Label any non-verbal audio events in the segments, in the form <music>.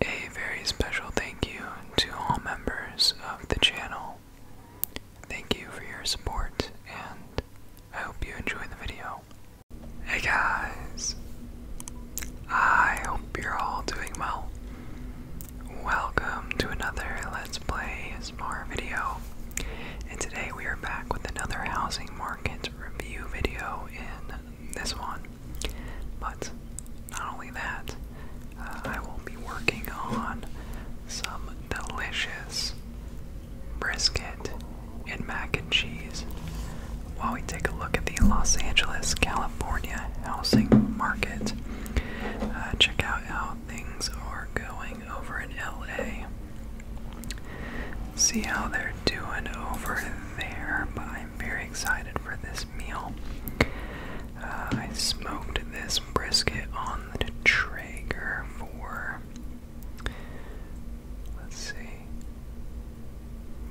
A very special thank you to all members of the channel. Thank you for your support, and I hope you enjoy the video. Hey guys! I hope you're all doing well. Welcome to another Let's Play ASMR video, and today we are back with another housing market review video in this one. But not only that, uh, I will be working on some delicious brisket and mac and cheese while we take a look at the Los Angeles, California housing market. Uh, check out how things are going over in LA. See how they're doing over there, but I'm very excited for this meal. Uh, I smoked this brisket on the Traeger for, let's see,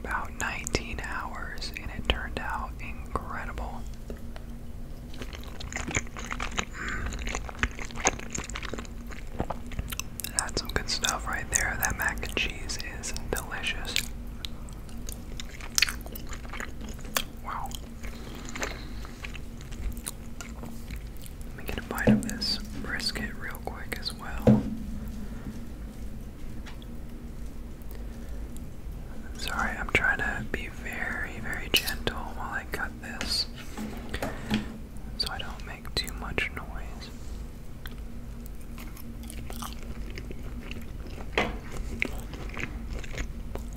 about 19 hours, and it turned out incredible. That's some good stuff right there. That mac and cheese is delicious. Wow. Let me get a bite of this brisket real quick as well. Sorry, I'm trying to be very, very gentle while I cut this so I don't make too much noise.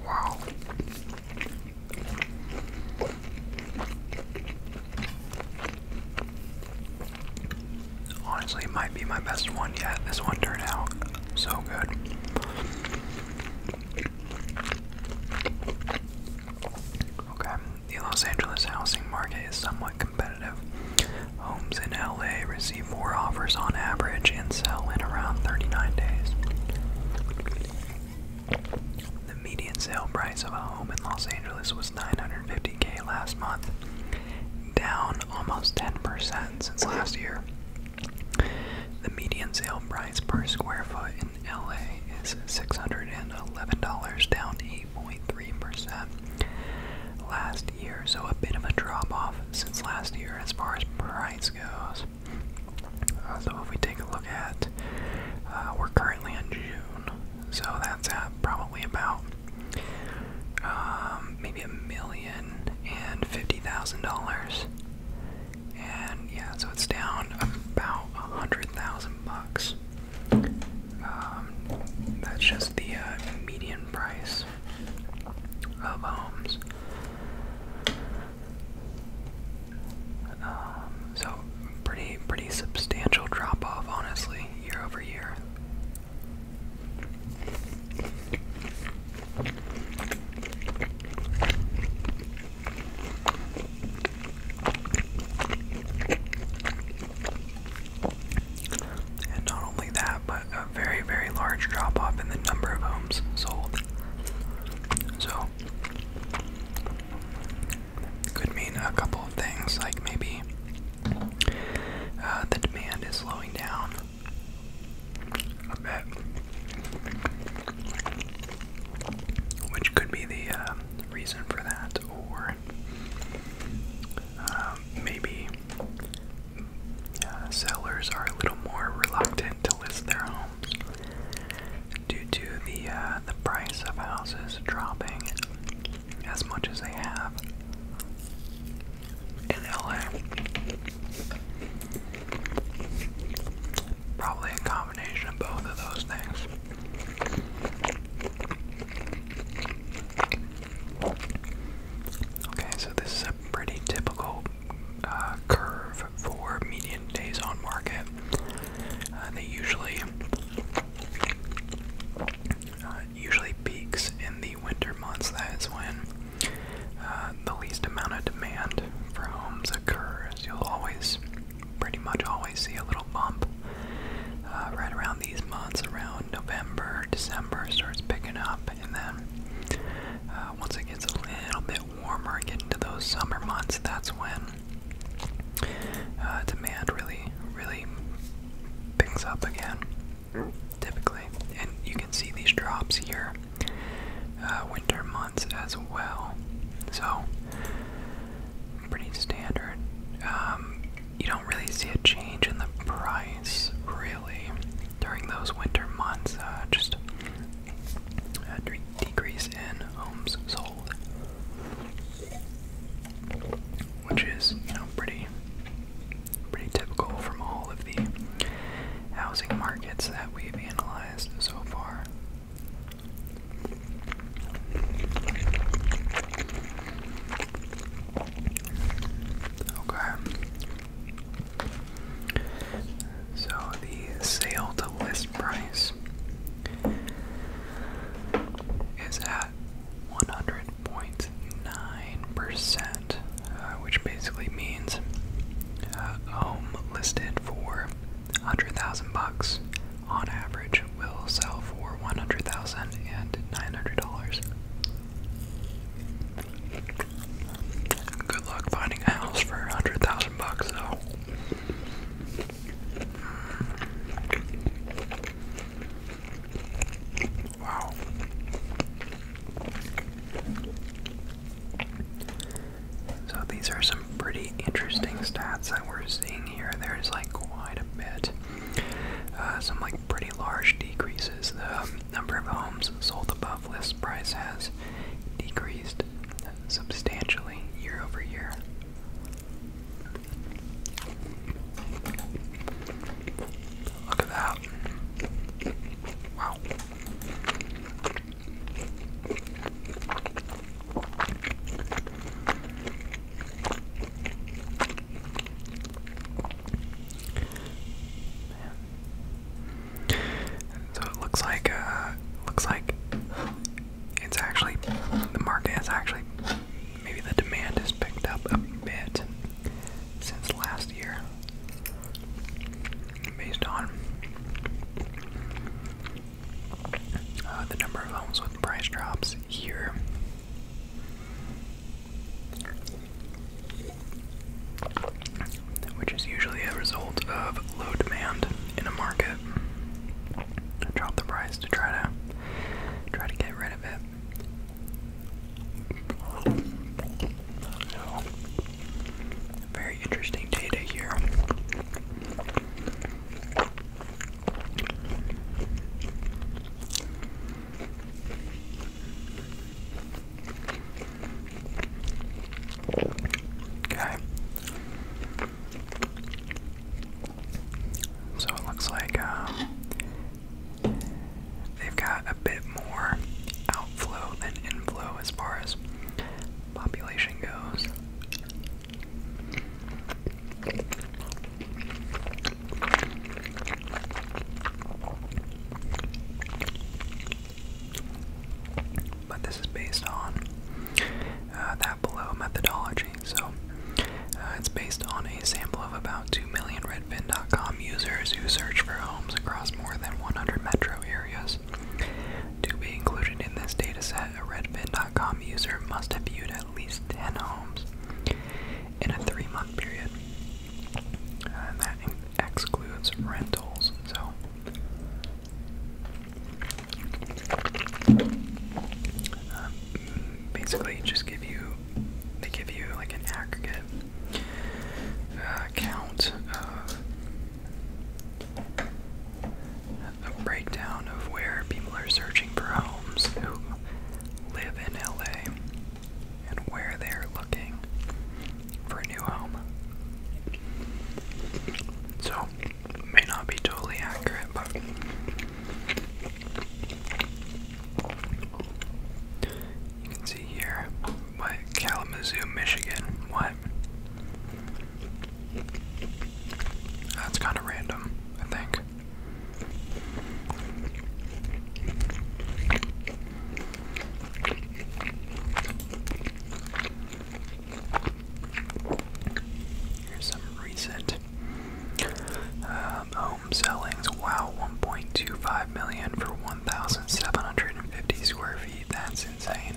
Wow. Honestly, might be my best one yet. This one turned out so good the Los Angeles housing market is somewhat competitive. Homes in LA receive four offers on average and sell in around 39 days. The median sale price of a home in Los Angeles was 950k last month, down almost 10% since last year. The median sale price per square foot LA is $611, down 8.3% last year. So a bit of a drop off since last year as far as price goes. Uh, so if we take a look at, uh, we're currently in June, so that's at probably about um, maybe a million and fifty thousand dollars and yeah, so it's down about a hundred thousand bucks. Um, that's just the uh, median price of homes. Um, so pretty, pretty substantial drop off, honestly, year over year. And not only that, but a very, very large drop off in the number of homes sold. So, could mean a couple of things, like maybe uh, the demand is slowing down a bit which could be the um, reason for that, or um, maybe uh, sellers are a little more reluctant to list their homes due to the uh, the price of houses dropping as much as they have in LA. Probably a combination both of those things. Okay, so this is a pretty typical uh, curve for median days on market. Uh, they usually uh, usually peaks in the winter months. That is when the least amount of demand for homes occurs. You'll always pretty much always see a little bump uh, right around these months, around November, December, starts picking up, and then uh, once it gets a little bit warmer, getting to those summer months, that's when uh, demand really, really picks up again, typically. And you can see these drops here, winter months as well. So, pretty standard. Um, you don't really see a change in the price, really, during those winter months. Uh, just a decrease in homes sold, which is, you know, pretty, pretty typical from all of the housing markets that we've analyzed so far. Okay. So the sale to list price is at 100.9%, uh, which basically means a uh, home listed for hundred thousand bucks on average will sell for one hundred thousand and nine hundred dollars. Good luck finding a house for hundred thousand bucks though. Wow. So these are some pretty interesting stats that we're seeing here. There's like quite a bit. Uh, some like pretty large decreases. The number of homes sold above list price has decreased substantially year over year. Look at that. Wow. So it looks like uh, looks like it's actually the market has actually maybe the demand has picked up a bit since last year based on uh, the number of homes with price drops here. Which is usually a result of low demand in a market. Drop the price to try to try to get rid of it. very interesting data here. Okay. So it looks like um, they've got a bit more outflow than inflow as far as population goes. But this is based on uh, that below methodology. So uh, it's based on a sample of about 2 million Redfin.com users who search for homes across more than 100 metro areas. To be included in this dataset, a redfin.com user must have viewed at least 10 homes in a three month period. that excludes rentals, so. Um, basically, just give you, they give you like an aggregate uh, count of a breakdown of where people are searching for homes who live in LA and where they're looking for a new home. So, may not be totally accurate, but you can see here what Kalamazoo, Michigan, what that's kind of random, I think. Here's some recent um, home sellings. Wow, 1.25 million for 1,750 square feet. That's insane.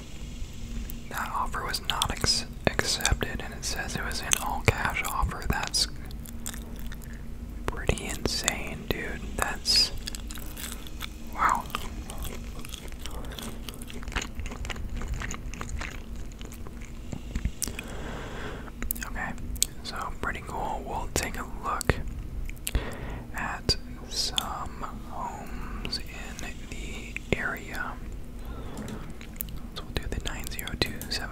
That offer was not accepted, and it says it was an all cash offer. That's pretty insane, dude. That's wow. Okay, so pretty cool. We'll take a look some homes in the area. So we'll do the 90275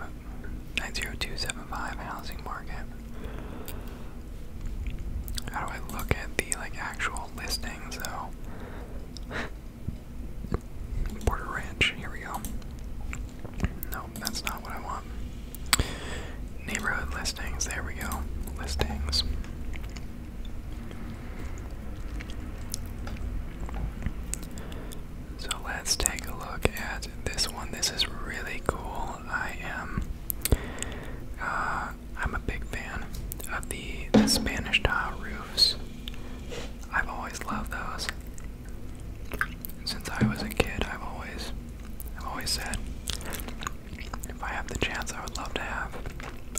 90275 housing market. How do I look at the like actual listings though? <laughs> Border Ranch, here we go. No, that's not what I want. Neighborhood listings, there we go. Listings. So let's take a look at this one. This is really cool. I am uh, I'm a big fan of the, the Spanish tile roofs. I've always loved those. Since I was a kid, I've always I've always said if I have the chance, I would love to have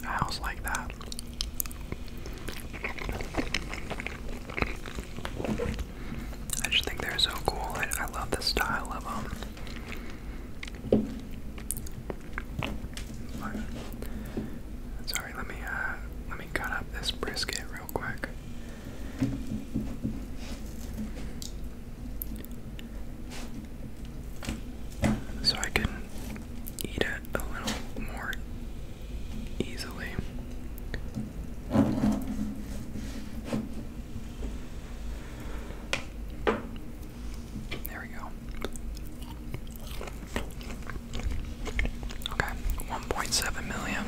a house like that. I just think they're so cool. I, love the style of them. sorry, let me uh, let me cut up this brisket real quick so I can eat it a little more easily. There we go. Okay, 1.7 million.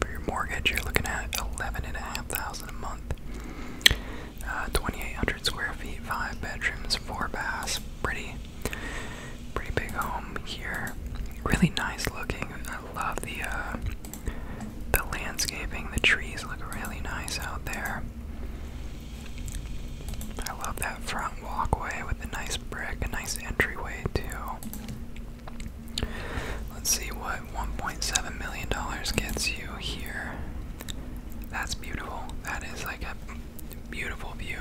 For your mortgage, you're looking at eleven and a half thousand a month. Uh, 2,800 square feet, five bedrooms, four baths. Pretty, pretty big home here. Really nice looking. I love the uh, the landscaping. The trees look really nice out there. I love that front walkway with the nice brick, a nice entryway too. Let's see what $1.7 million gets you here. That's beautiful. That is like a beautiful view.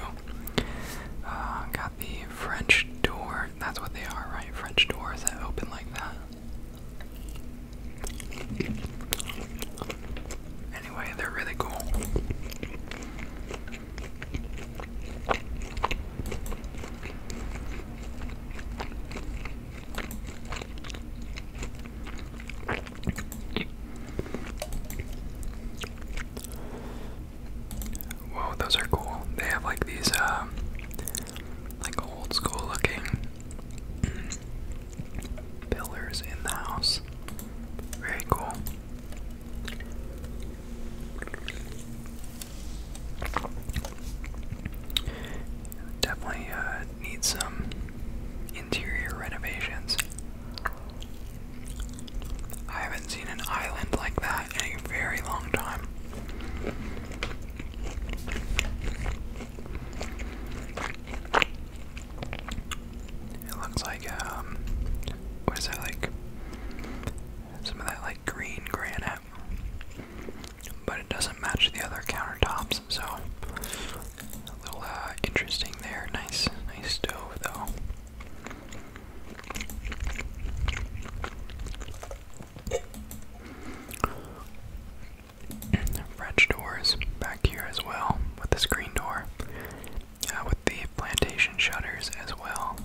Uh, got the French door. That's what they are, right? French doors that open like that. Anyway, they're really cool. Whoa, those are cool. They have like these, um, like old school looking pillars in the house. Very cool. Definitely uh, need some interior renovations. I haven't seen an island like that in a very long time. It looks like, um, what is that like? Some of that like green Grand but it doesn't match the other countertops, so a little uh, interesting there. Nice, nice stove though. <clears throat> French doors back here as well with the screen door, uh, with the plantation shutters as well.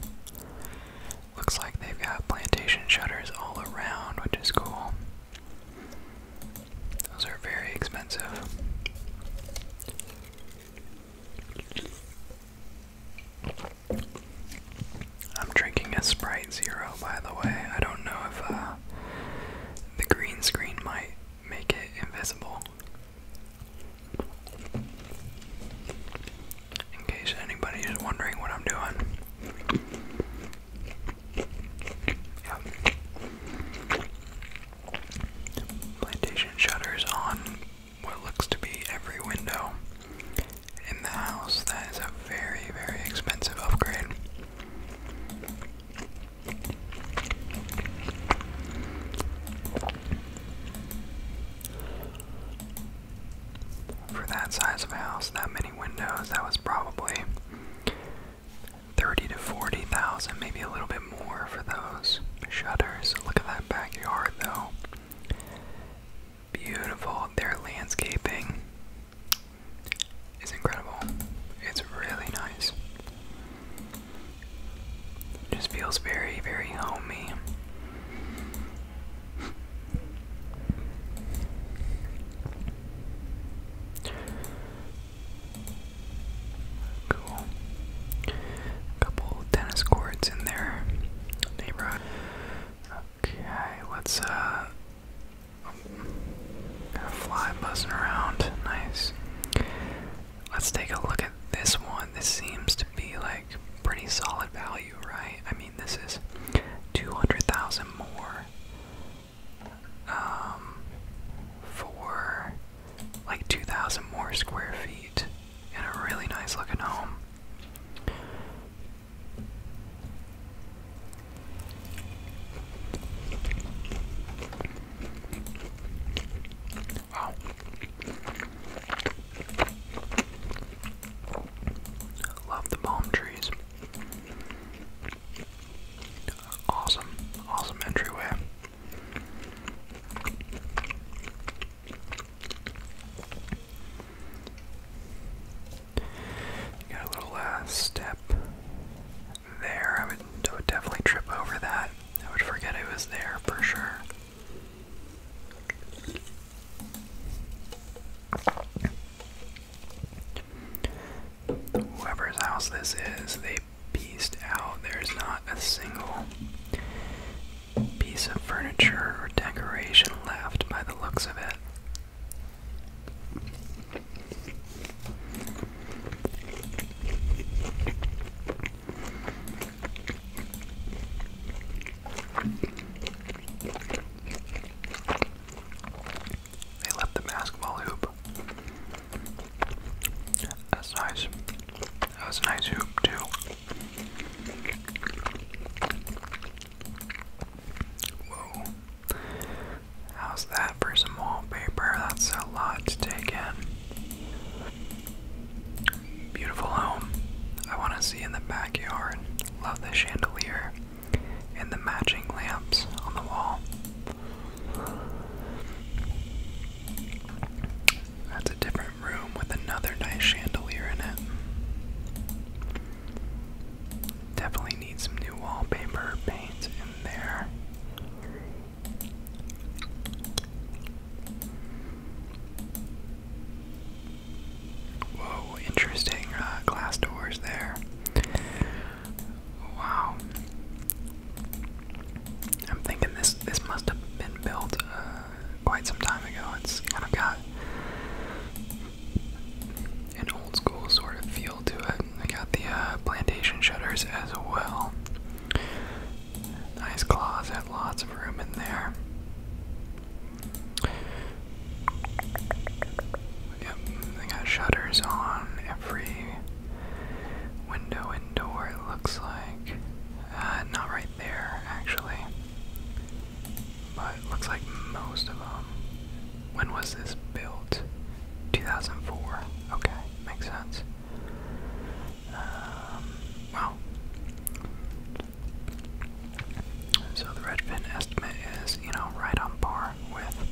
Looks like they've got plantation shutters all around, which is cool. Those are very expensive. I'm drinking a Sprite Zero, by the way. I don't know if uh, the green screen might make it invisible in case anybody is wondering what I'm doing. Plantation shutters on what looks to be every window in the house. That is a very, very expensive upgrade for that size of house, that many windows, that was probably thirty to forty thousand, maybe a little bit more for those shutters. Look at that backyard though. Beautiful. Their landscaping is incredible. It's really nice. just feels very, very homey. Cool. Couple tennis courts in their Okay, let's uh got a fly buzzing around. Nice. Let's take a look at this one. This seems to be like pretty solid value right? I mean, this is 200,000 more um, for like 2,000 more square feet in a really nice looking home. Wow. Love the palm trees. Awesome, awesome entryway. Got a little uh, step there. I would definitely trip over that. I would forget it was there for sure. Whoever's house this is, they pieced out. There's not a single piece of furniture or decoration left by the looks of it. They left the basketball hoop. That's nice. That was a nice hoop, too. Whoa. How's that for some wallpaper? That's a lot to take in. Beautiful home. I want to see in the backyard. Love the chandelier and the matching lamps on the wall. That's a different room with another nice chandelier in it. Definitely need some new wallpaper paint in there. Whoa, interesting uh, glass doors there. Wow. I'm thinking this this must have been built uh, quite some time ago. It's kind of got an old school sort of feel to it. I got the uh, plantation shutters as well. Nice closet, lots of room in there. Yep, they got shutters on every window and door, it looks like. Uh, not right there, actually. But looks like most of them. When was this built? 2004. Okay, makes sense. Um, so the Redfin estimate is, you know, right on par with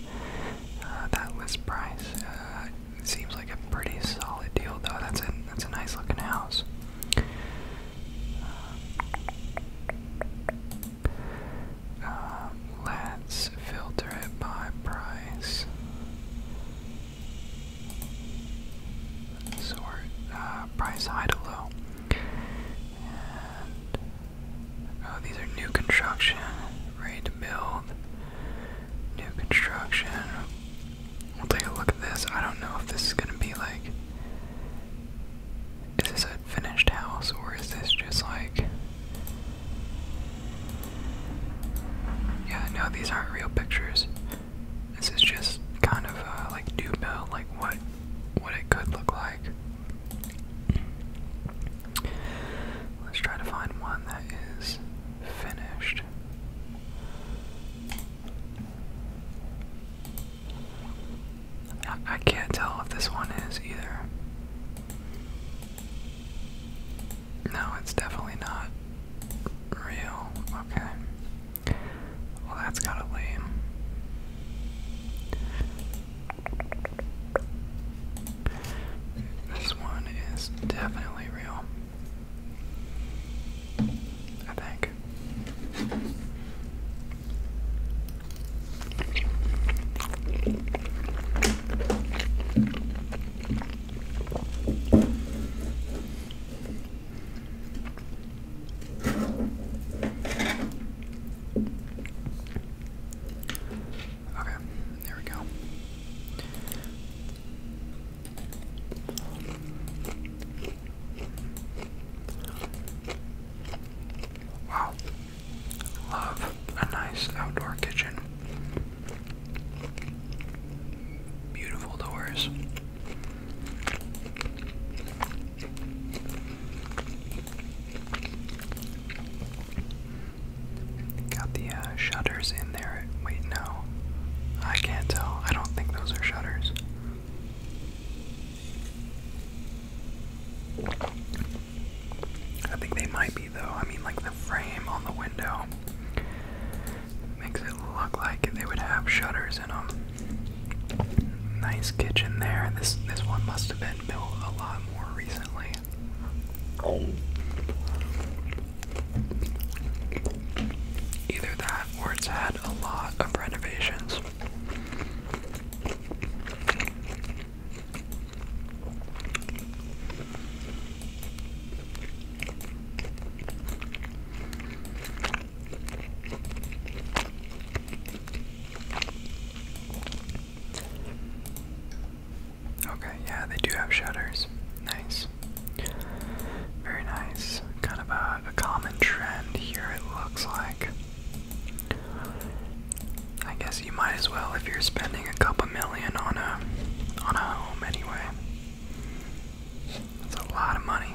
uh, that list price. Uh, seems like a pretty solid deal, though. That's a that's a nice looking house. Uh, let's filter it by price. Sort price high to low. Oh, these are new construction, ready to build. New construction. We'll take a look at this. I don't know if this is gonna be like. Is this a finished house or is this just like. Yeah, no, these aren't real pictures. This is just kind of uh, like do build, like what what it could look like. Let's try to find one that is finished. I, can't tell if this one is either. No, it's definitely not real. Okay. Well, that's kind of lame. This one is definitely real. I think. Okay, there we go. Wow, love a nice outdoor kitchen. Beautiful doors. Got the uh, shutters in there. Wait, no. I can't tell. I don't think those are shutters. I think they might be, though. I mean, like the frame on the window makes it look like they would have shutters in them. Nice kitchen there. This this one must have been built a lot more recently. Either that or it's had a lot of renovations. Okay, yeah, they do have shutters. Nice. Very nice. Kind of a, common trend here, it looks like. I guess you might as well if you're spending a couple million on a on a home anyway. That's a lot of money.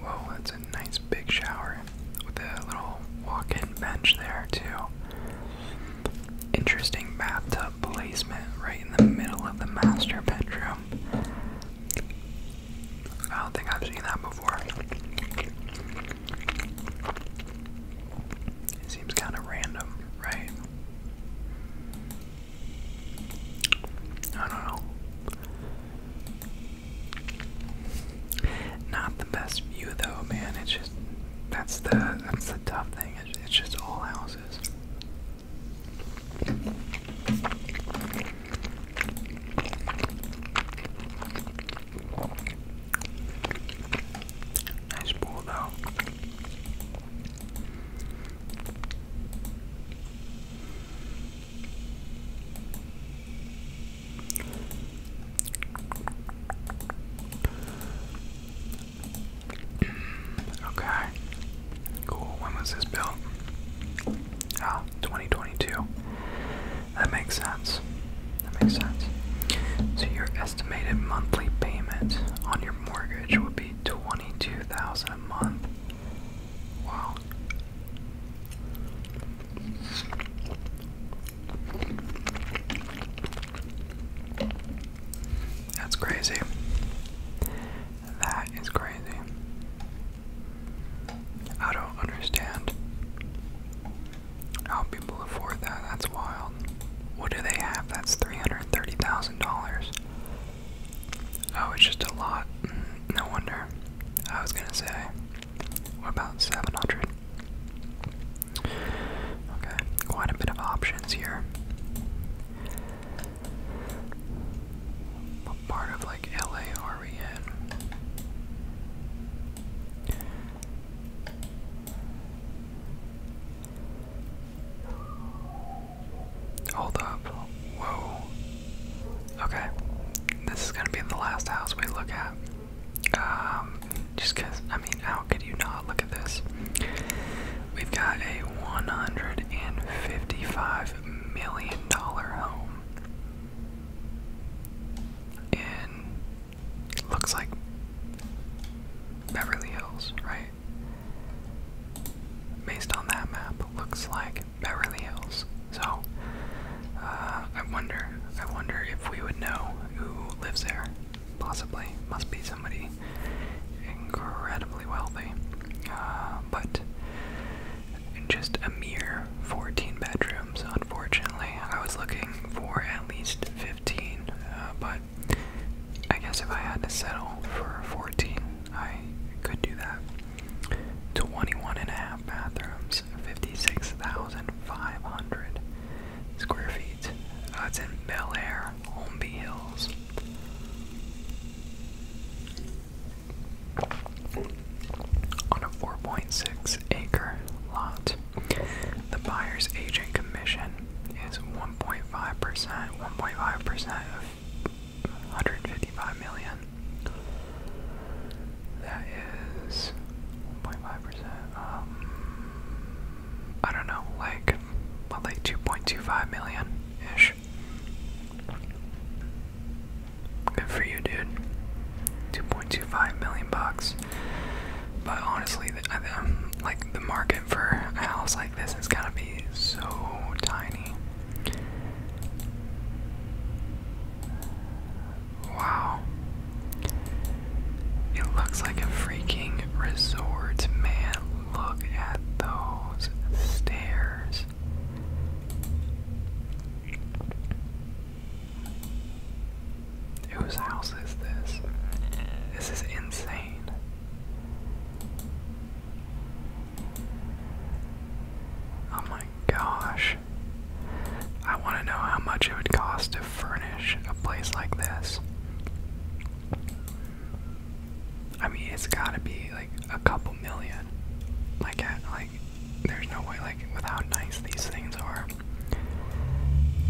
Whoa, that's a nice big shower with a little walk-in bench there too. Interesting bathtub placement right in the middle of the master bedroom. I don't think I've seen that before. It seems kind of random, right? I don't know. Not the best view though, man. It's just that's the that's the tough thing. It's, just all houses. Nice pool though okay. Cool. When was this built? Ah, 2022. That makes sense. That makes sense. So your estimated monthly payment on your mortgage would be 22,000 a month. Wow. That's crazy. That is crazy. I don't understand how people afford that. That's wild. What do they have? That's $330,000. Oh, it's just a lot. Mm, no wonder. I was gonna say, about 700. Okay, quite a bit of options here. part of like LA Hold up. Whoa. Okay. This is going to be the last house we look at. Um, just because, I mean, how could you not look at this? We've got a $155 million home. In looks like Beverly Hills, right? Based on that map, looks like Beverly Hills. So uh, I wonder, I wonder if we would know who lives there. Possibly, must be somebody incredibly wealthy. Uh, but just a mere 14 bedrooms, unfortunately. I was looking for at least 15, uh, but I guess if I had to settle for 14, I could do that. 21 and a half bathrooms, 56,000 Five hundred square feet. Uh, it's in Bel Air, Holmby Hills. On a 4.6 acre lot, the buyer's agent commission is 1.5%, 1.5% of 155 million. That is 1.5%. Um, I don't know, like, what, like 2.25 million ish. Good for you, dude. 2.25 million bucks. But honestly, um, like the market for a house like this is gonna be so tiny. Wow. It looks like a freaking resort, man. Look at those stairs. Whose house is this? This is insane. Oh my gosh. I want to know how much it would cost to furnish a place like this. I mean, it's got to be like a couple million. Like, at, like, there's no way, like, with how nice these things are.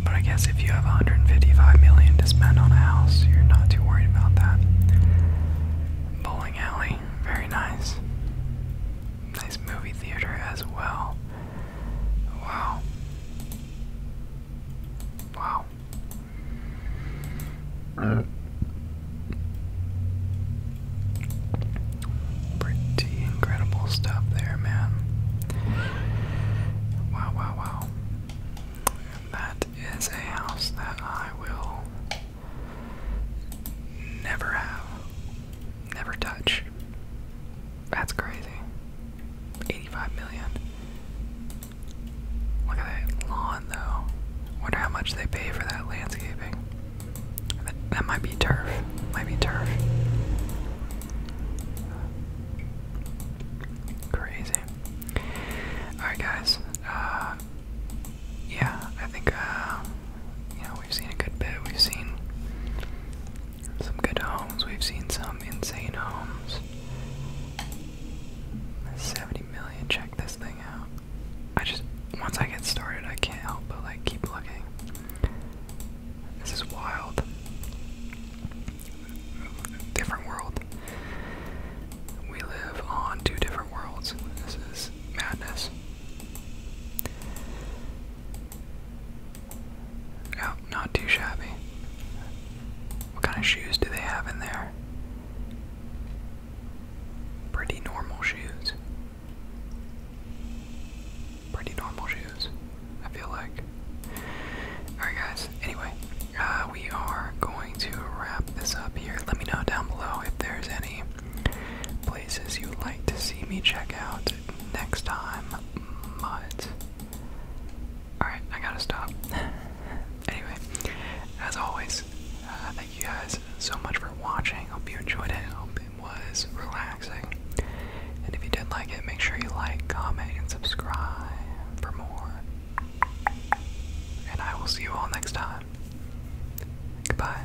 But I guess if you have 155 million to spend on a house, you're not too worried about that. Bowling alley, very nice. Nice movie theater as well. Wow. Wow. pretty incredible stuff there, man. Wow, wow, wow. that is a house that I will never have never touch. That's crazy. 85 million. Look at that lawn though. Wonder how much they pay for that landscaping. That, might be turf. Might be turf. Crazy. Alright guys. Uh, yeah, I think uh we've seen a good bit. We've seen some good homes. We've seen some insane homes. 70 million. Check this thing out. I just, once I get started, I can't help but like keep looking. This is wild. Different world. We live on two different worlds. This is madness. Oh, not too shabby. What kind of shoes do they have in there? Pretty normal shoes. Pretty normal shoes, I feel like. Alright, guys, anyway, uh, we are going to wrap this up here. Let me know down below if there's any Places you'd like to see me check out next time, but. Alright, I gotta stop. <laughs> anyway, as always, uh, thank you guys so much for watching. Hope you enjoyed it. Hope it was relaxing. And if you did like it, make sure you like, comment, and subscribe for more. And I will see you all next time. Goodbye.